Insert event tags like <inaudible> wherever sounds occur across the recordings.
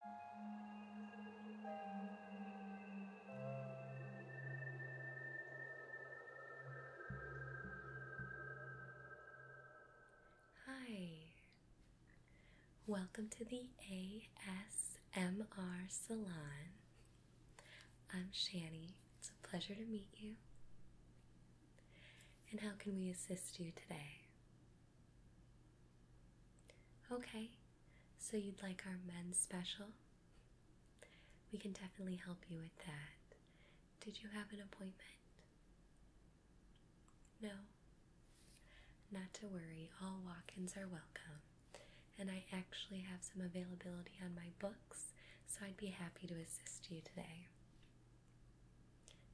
Hi, welcome to the ASMR Salon. I'm Shani. It's a pleasure to meet you. And how can we assist you today? Okay, so you'd like our men's special? We can definitely help you with that. Did you have an appointment? No? Not to worry, all walk ins are welcome. And I actually have some availability on my books, so I'd be happy to assist you today.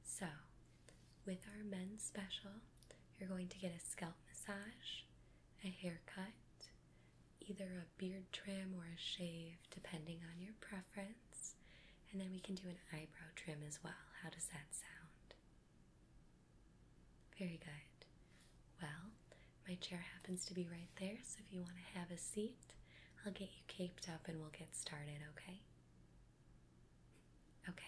So, with our men's special, you're going to get a scalp massage, a haircut, either a beard trim or a shave, depending on your preference, and then we can do an eyebrow trim as well. How does that sound? Very good. Well, my chair happens to be right there, so if you want to have a seat, I'll get you caped up and we'll get started, okay? Okay.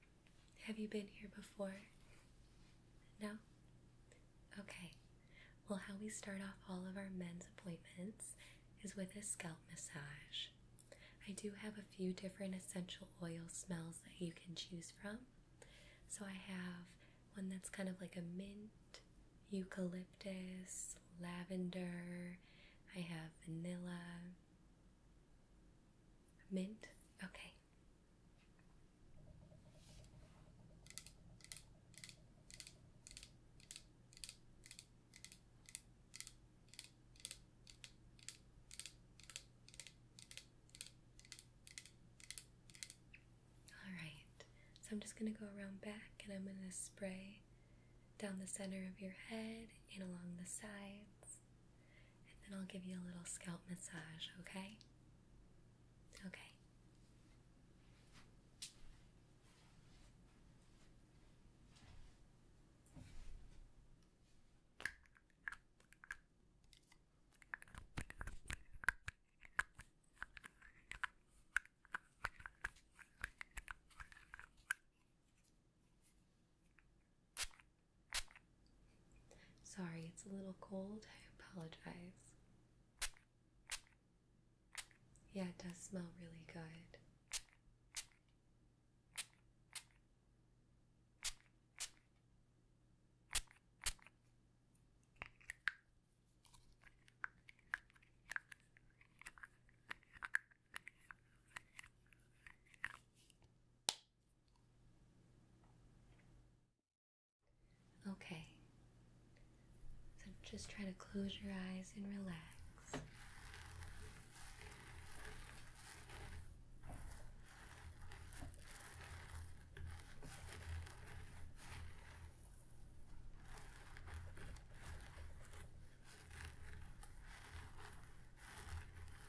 Have you been here before? No? Okay. Well, how we start off all of our men's appointments is with a scalp massage. I do have a few different essential oil smells that you can choose from. So I have one that's kind of like a mint, eucalyptus, lavender, I have vanilla, Mint? Okay. Alright, so I'm just going to go around back and I'm going to spray down the center of your head and along the sides and then I'll give you a little scalp massage, okay? Okay. Sorry, it's a little cold. I apologize. Yeah, it does smell really good. Okay. So just try to close your eyes and relax.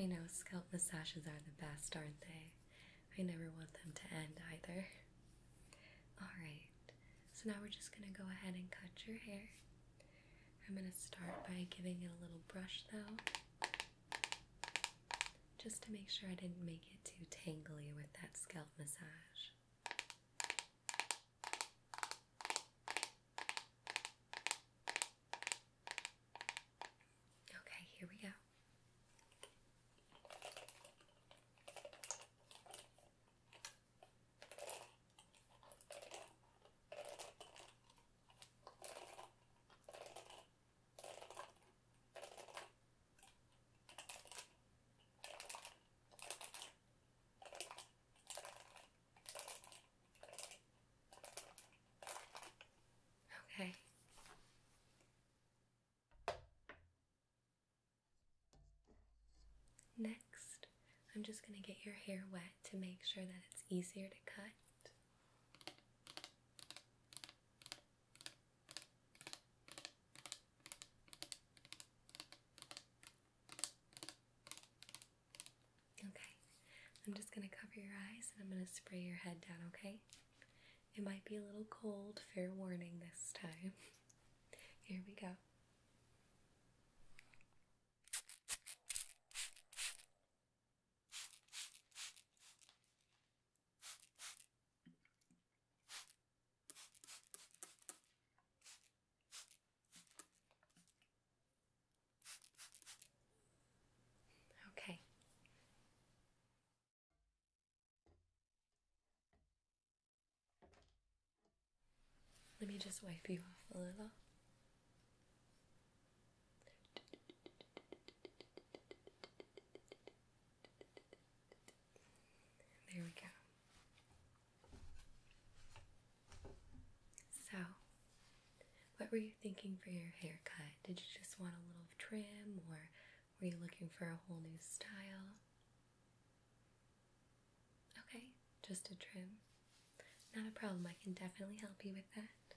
I know scalp massages are the best, aren't they? I never want them to end either. Alright, so now we're just going to go ahead and cut your hair. I'm going to start by giving it a little brush though. Just to make sure I didn't make it too tangly with that scalp massage. Okay, here we go. Okay. Next, I'm just going to get your hair wet to make sure that it's easier to cut. Okay, I'm just going to cover your eyes and I'm going to spray your head down, okay? It might be a little cold, fair warning this time. <laughs> Here we go. Okay. Let me just wipe you off a little. There we go. So, what were you thinking for your haircut? Did you just want a little trim or were you looking for a whole new style? Okay, just a trim. Not a problem, I can definitely help you with that.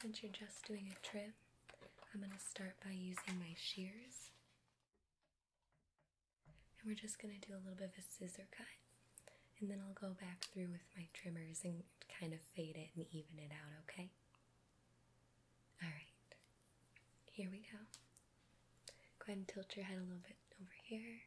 since you're just doing a trim, I'm going to start by using my shears. And we're just going to do a little bit of a scissor cut. And then I'll go back through with my trimmers and kind of fade it and even it out, okay? Alright, here we go. Go ahead and tilt your head a little bit over here.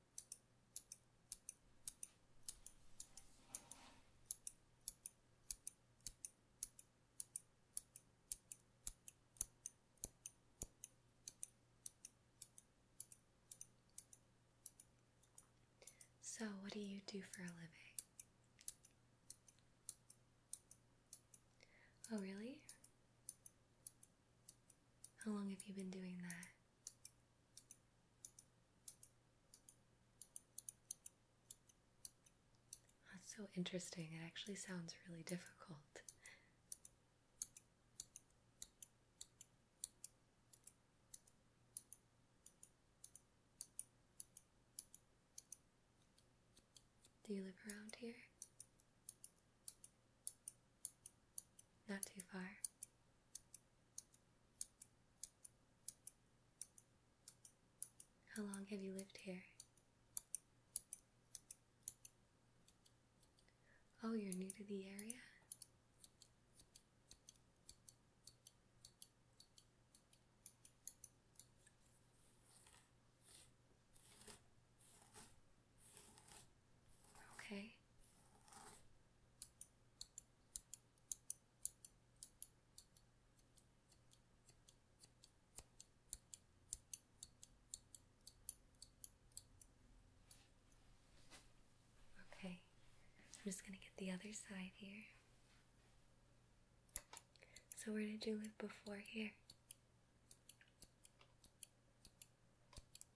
So, what do you do for a living? Oh, really? How long have you been doing that? That's so interesting. It actually sounds really difficult. Do you live around here? Not too far. How long have you lived here? Oh, you're new to the area? Okay. Okay. I'm just going to get the other side here. So, where did you live before here?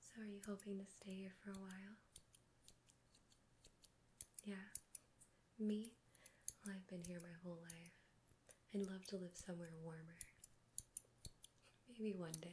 So, are you hoping to stay here for a while? Yeah. Me? I've been here my whole life. I'd love to live somewhere warmer. Maybe one day.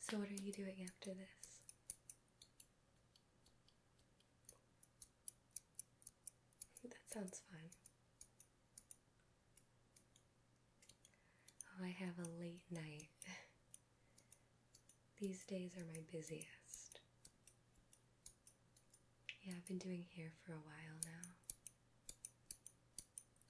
So, what are you doing after this? That sounds fun. Oh, I have a late night. <laughs> These days are my busiest. Yeah, I've been doing hair for a while now.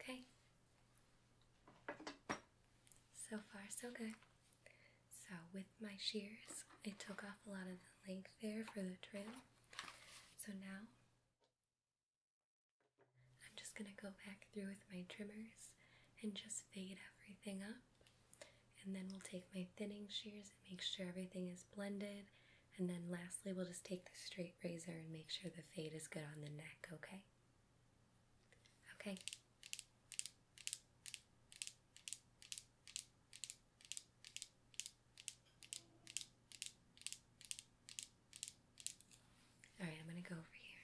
Okay. So far, so good. So, with my shears, I took off a lot of the length there for the trim. So, now I'm just going to go back through with my trimmers and just fade everything up. And then we'll take my thinning shears and make sure everything is blended. And then lastly, we'll just take the straight razor and make sure the fade is good on the neck, okay? Okay. All right, I'm going to go over here.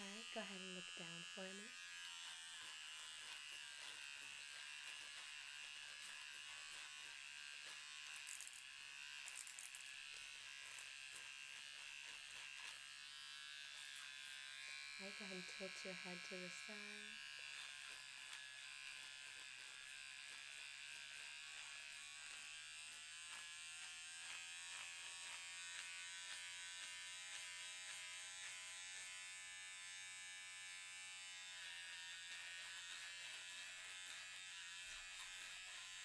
Alright, go ahead and look down for me. Right, go ahead and tilt your head to the side.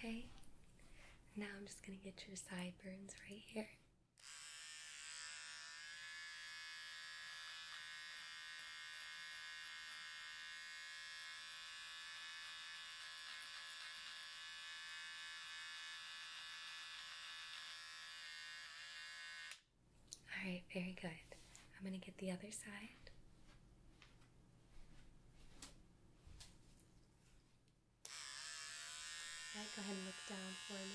Okay, now I'm just going to get your sideburns right here. All right, very good. I'm going to get the other side. go ahead and look down for me.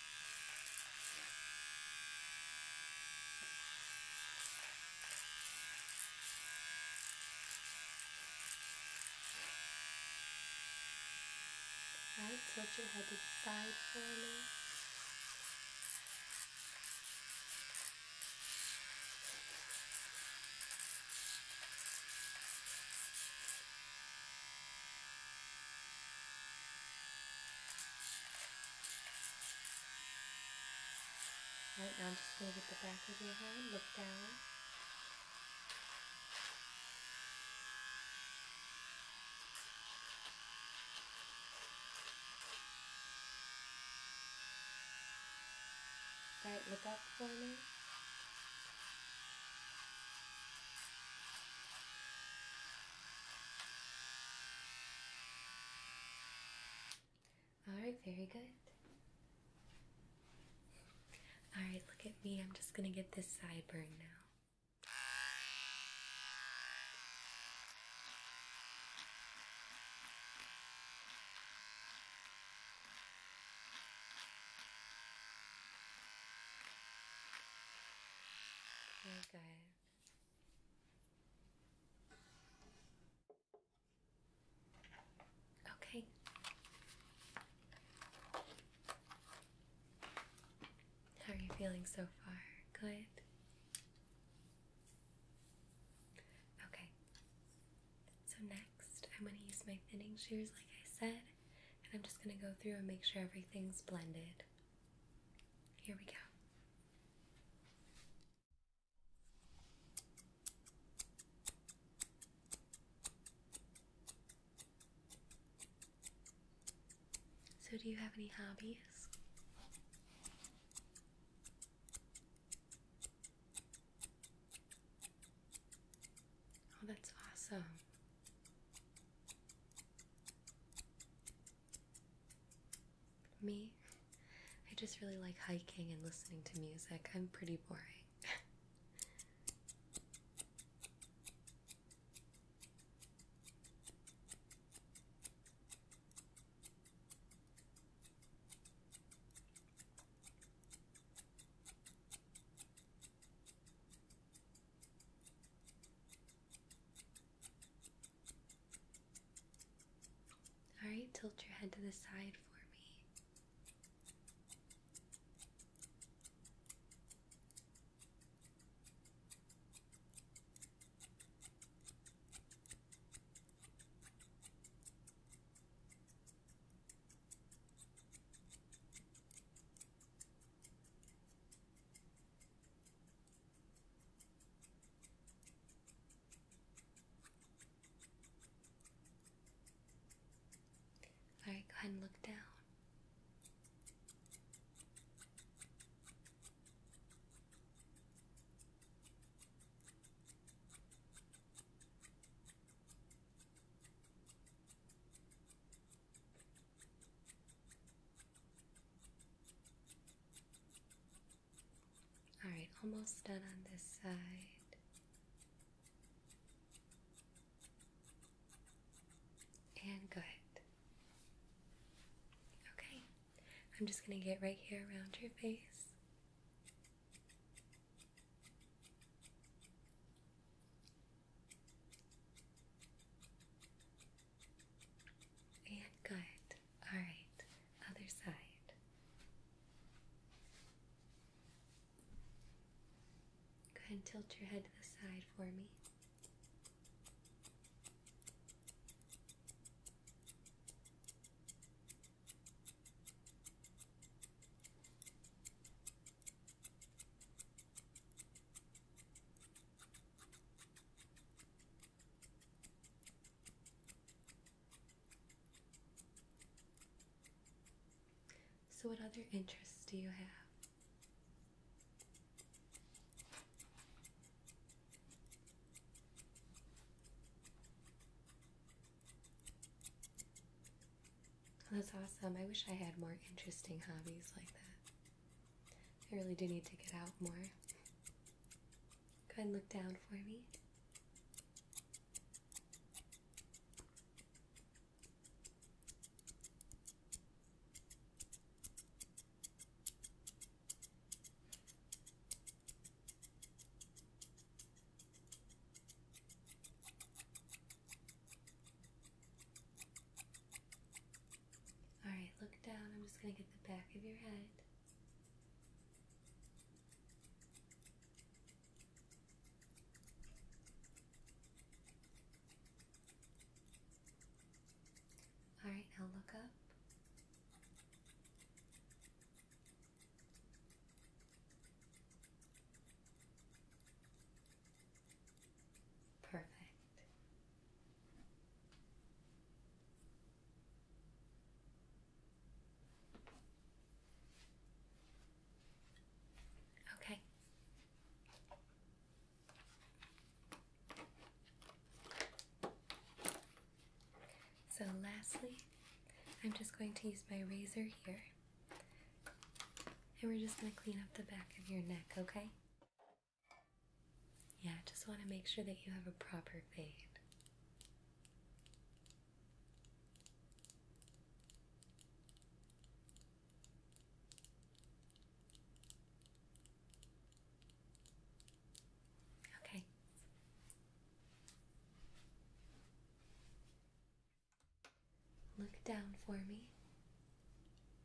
Right, tilt your head to the side for me. Right now I'm just going to get the back of your hand, look down. Right, look up for me. All right, very good. All right, look at me. I'm just going to get this sideburn now. Very good. Okay. How are you feeling so far? Good? Okay. So, next, I'm going to use my thinning shears, like I said, and I'm just going to go through and make sure everything's blended. Here we go. So, do you have any hobbies? Oh, that's awesome. Me? I just really like hiking and listening to music. I'm pretty boring. All right, tilt your head to the side for me. All right, go ahead and look down. All right, almost done on this side. And good. Okay, I'm just going to get right here around your face good. All right, other side. Go ahead and tilt your head to the side for me. So, what other interests do you have? That's awesome. I wish I had more interesting hobbies like that. I really do need to get out more. Go ahead and look down for me. Alright, look down. I'm just going to get the back of your head. Alright, now look up. Perfect. Okay. So, lastly, I'm just going to use my razor here, and we're just going to clean up the back of your neck, okay? Yeah, just want to make sure that you have a proper fade. Okay. Look down for me.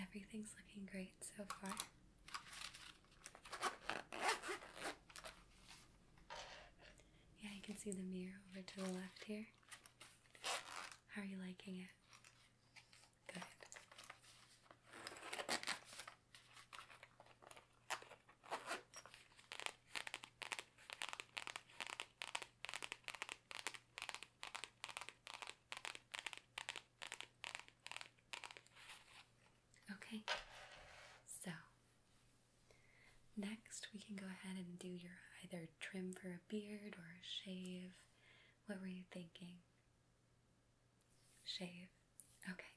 Everything's looking great so far. Yeah, you can see the mirror over to the left here. How are you liking it? Good. Okay, so next we can go ahead and do your either trim for a beard or a shave. What were you thinking? Shave. Okay.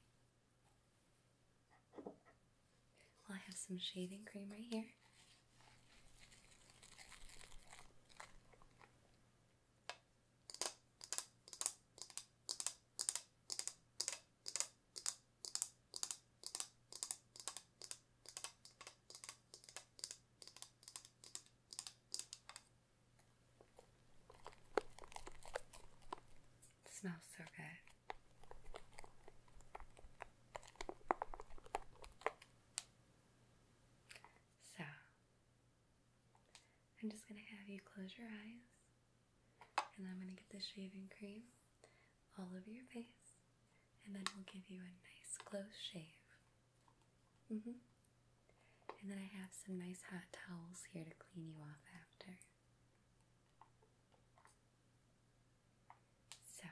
Well, I have some shaving cream right here. It smells so good. So I'm just going to have you close your eyes and I'm going to get the shaving cream all over your face and then we'll give you a nice close shave. hmm. And then I have some nice hot towels here to clean you off after. So,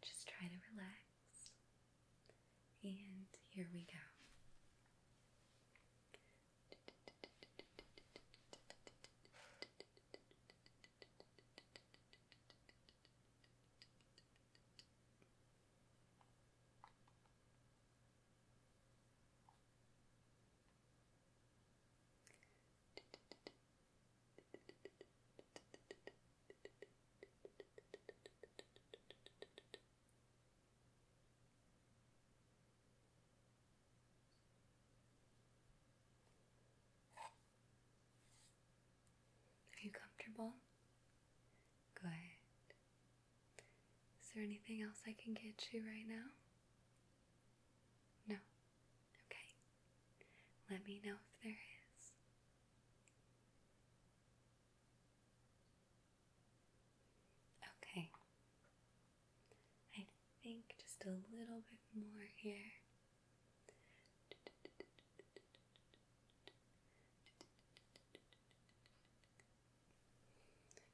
just try to relax and here we go. Are you comfortable? Good. Is there anything else I can get you right now? No. Okay. Let me know if there is. Okay. I think just a little bit more here.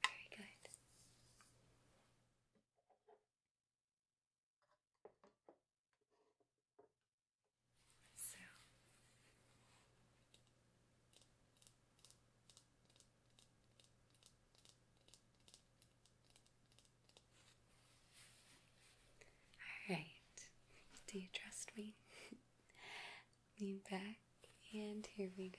Very good all right, do you trust me? <laughs> Lean back, and here we go.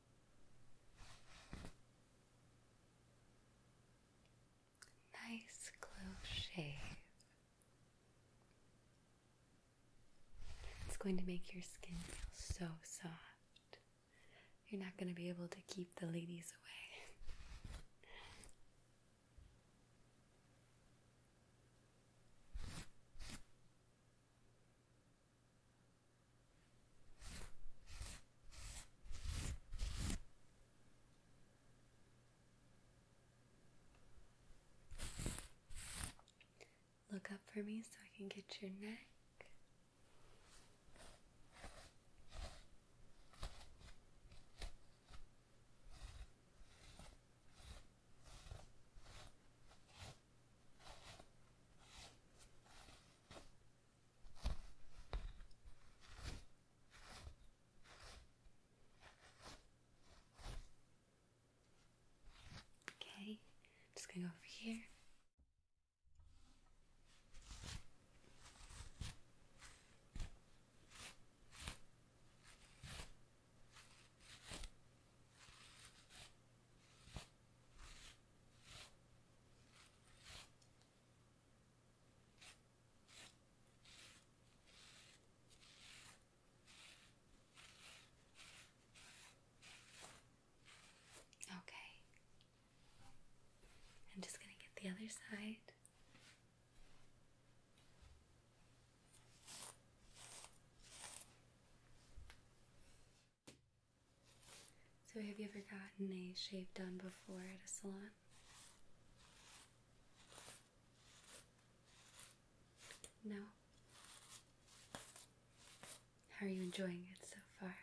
Nice close shave. It's going to make your skin feel so soft. You're not going to be able to keep the ladies away. Look up for me so I can get your neck. Okay, just gonna go over here. Okay. I'm just going to get the other side. So, have you ever gotten a shave done before at a salon? No? How are you enjoying it so far?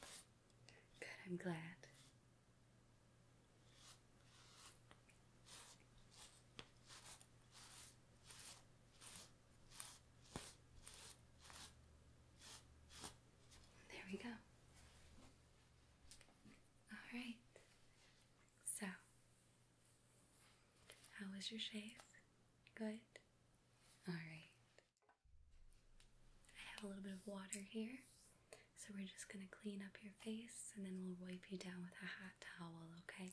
<laughs> Good, I'm glad. There we go. All right. So, how was your shave? Good. All right. I have a little bit of water here. So, we're just going to clean up your face and then we'll wipe you down with a hot towel, okay?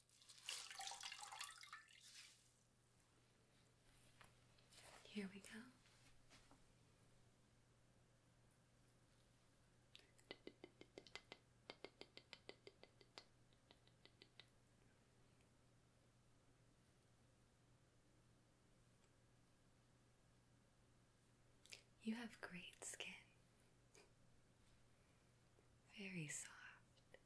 Here we go. You have great skin, very soft,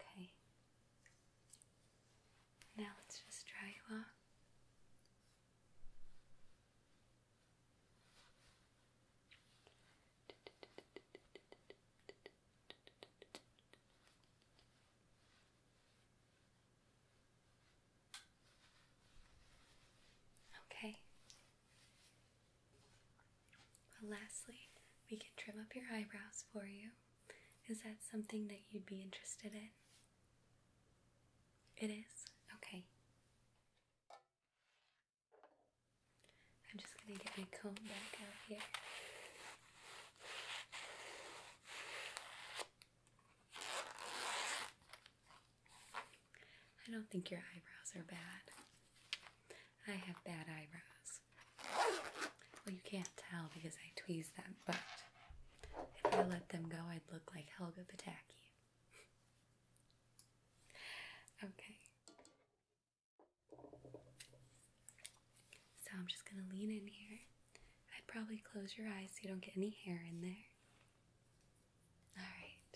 Okay. Now let's just try you off. Okay. lastly, we can trim up your eyebrows for you. Is that something that you'd be interested in? It is? Okay. I'm just going to get my comb back out here. I don't think your eyebrows are bad. I have bad eyebrows. Well, you can't tell because I tweeze them, but if I let them go, I'd look like Helga Pataki. <laughs> okay. So I'm just going to lean in here. I'd probably close your eyes so you don't get any hair in there. All right.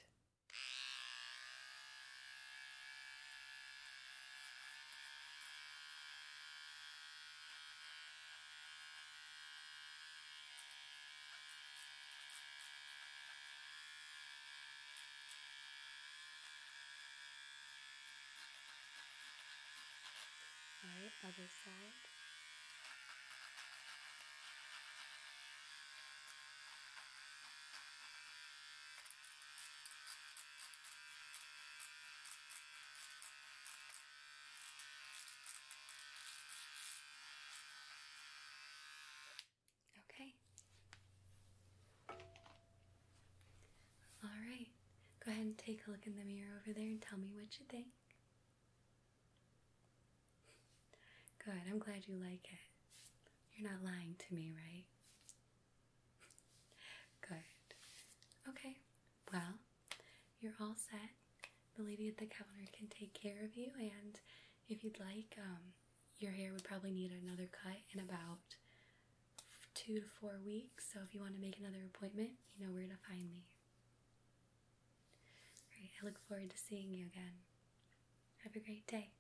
All right, other side. Okay. All right. Go ahead and take a look in the mirror over there and tell me what you think. Good, I'm glad you like it. You're not lying to me, right? <laughs> Good. Okay, well, you're all set. The lady at the counter can take care of you, and if you'd like, um, your hair would probably need another cut in about two to four weeks. So if you want to make another appointment, you know where to find me. All right, I look forward to seeing you again. Have a great day.